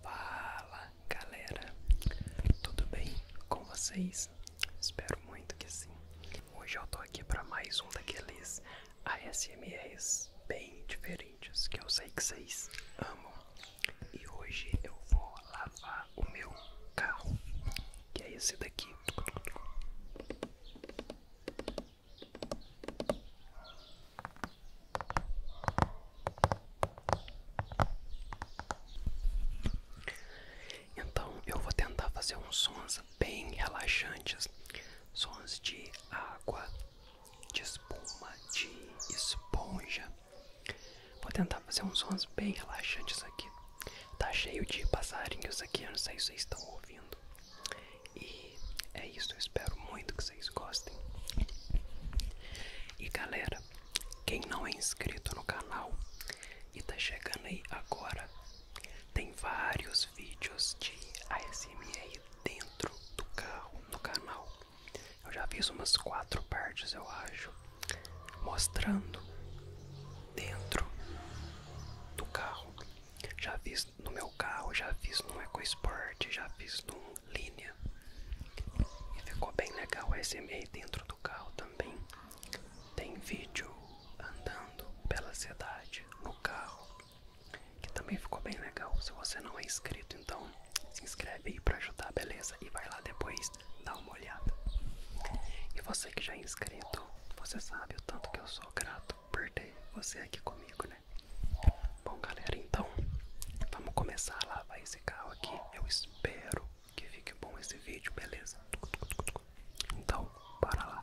Fala galera, tudo bem com vocês? Espero muito que sim. Hoje eu tô aqui para mais um daqueles ASMRs bem diferentes que eu sei que vocês amam. E hoje eu vou lavar o meu carro, que é esse daqui. Então eu vou tentar fazer uns sons bem relaxantes, sons de água, de espuma, de esponja. Vou tentar fazer uns sons bem relaxantes aqui. Tá cheio de passarinhos aqui, não sei se vocês estão ouvindo. E é isso, espero muito que vocês gostem. E galera, quem não é inscrito no canal e tá chegando aí agora, tem vários vídeos de ASMR dentro do carro no canal. Eu já vi umas quatro partes, eu acho, mostrando dentro do carro. Já vi no meu carro, já fiz no EcoSport, já fiz no Linea. E ficou bem legal o SMA dentro do carro também. Tem vídeo andando pela cidade no carro, que também ficou bem legal. Se você não é inscrito, então se inscreve aí para ajudar, beleza? E vai lá depois dar uma olhada. E você que já é inscrito, você sabe o tanto que eu sou grato por ter você aqui comigo, né? Bom, galera, então vamos começar a lavar esse carro aqui. Eu espero que fique bom esse vídeo, beleza? Então, para lá.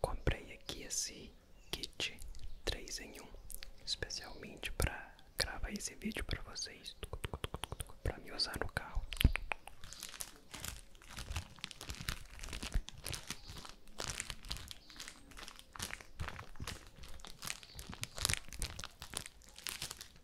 Comprei aqui esse kit três em um, especialmente para gravar esse vídeo para vocês, para me usar no carro.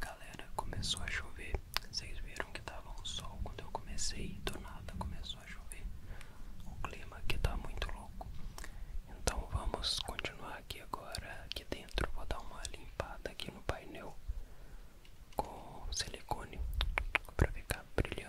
Galera, começou a chover. Vocês viram que tava um sol quando eu comecei, do nada começou a chover. O clima aqui tá muito louco. Então vamos continuar aqui agora aqui dentro. Vou dar uma limpada aqui no painel com silicone para ficar brilhando.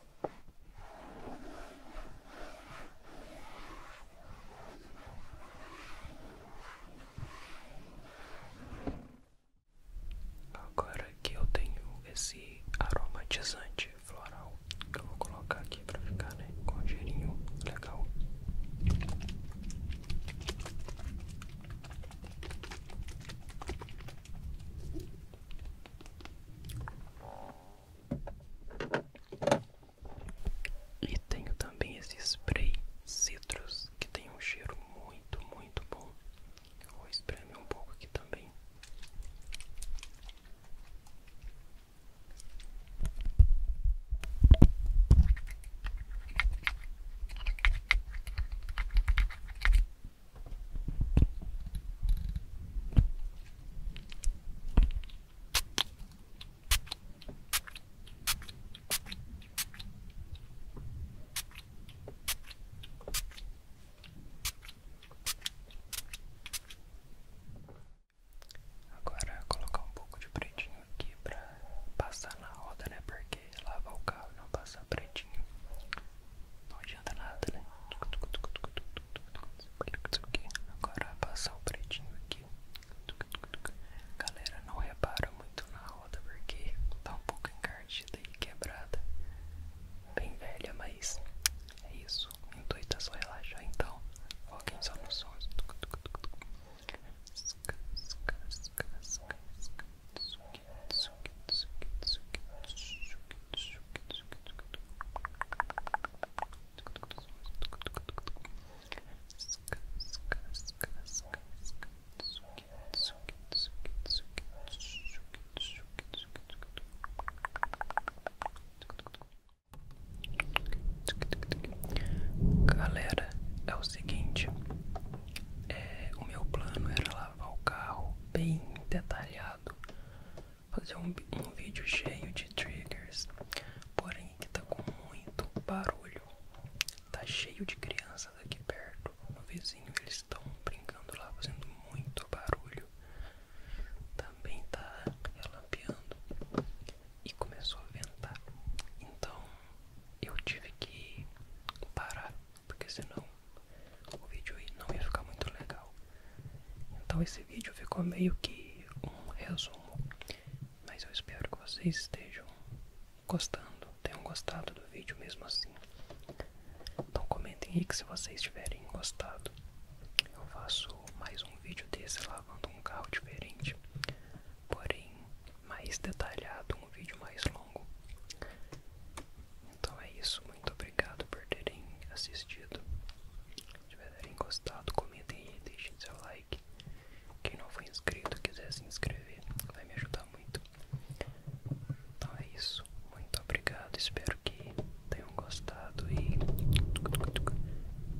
Agora que eu tenho esse aromatizante floral, que eu vou colocar aqui para ficar né, com um cheirinho legal. E tenho também esse spray citrus que tem um cheiro muito, muito bom. Eu vou espremer um pouco aqui também. Agora colocar um pouco de pretinho aqui pra passar na roda, né? Porque lava o carro e não passar pretinho não adianta nada, né? Agora passar o pretinho aqui. Galera, não repara muito na roda porque tá um pouco encardida e quebrada. Bem velha, mas é isso. O intuito é só relaxar, então alguém só nos sons. Galera, é o seguinte, é, o meu plano era lavar o carro bem detalhado fazer um, vídeo cheio de triggers, porém que tá com muito barulho. Tá cheio de crianças aqui perto, no vizinho eles estão brincando lá, fazendo muito barulho. Também tá relampeando e começou a ventar. Então eu tive que parar, porque senão o vídeo não ia ficar muito legal. Então esse vídeo ficou meio que um resumo, mas eu espero que vocês estejam gostando, tenham gostado do vídeo mesmo assim. Então comentem aí que se vocês tiverem gostado, eu faço mais um vídeo desse lavando um carro diferente, porém mais detalhado, um vídeo mais longo. Então é isso, muito obrigado por terem assistido. Se tiverem gostado, comentem aí, deixem seu like. Quem não for inscrito quiser se inscrever, vai me ajudar muito. Então é isso, muito obrigado, espero que tenham gostado e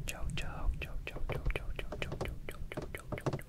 tchau, tchau, tchau, tchau, tchau, tchau, tchau, tchau, tchau, tchau, tchau, tchau, tchau.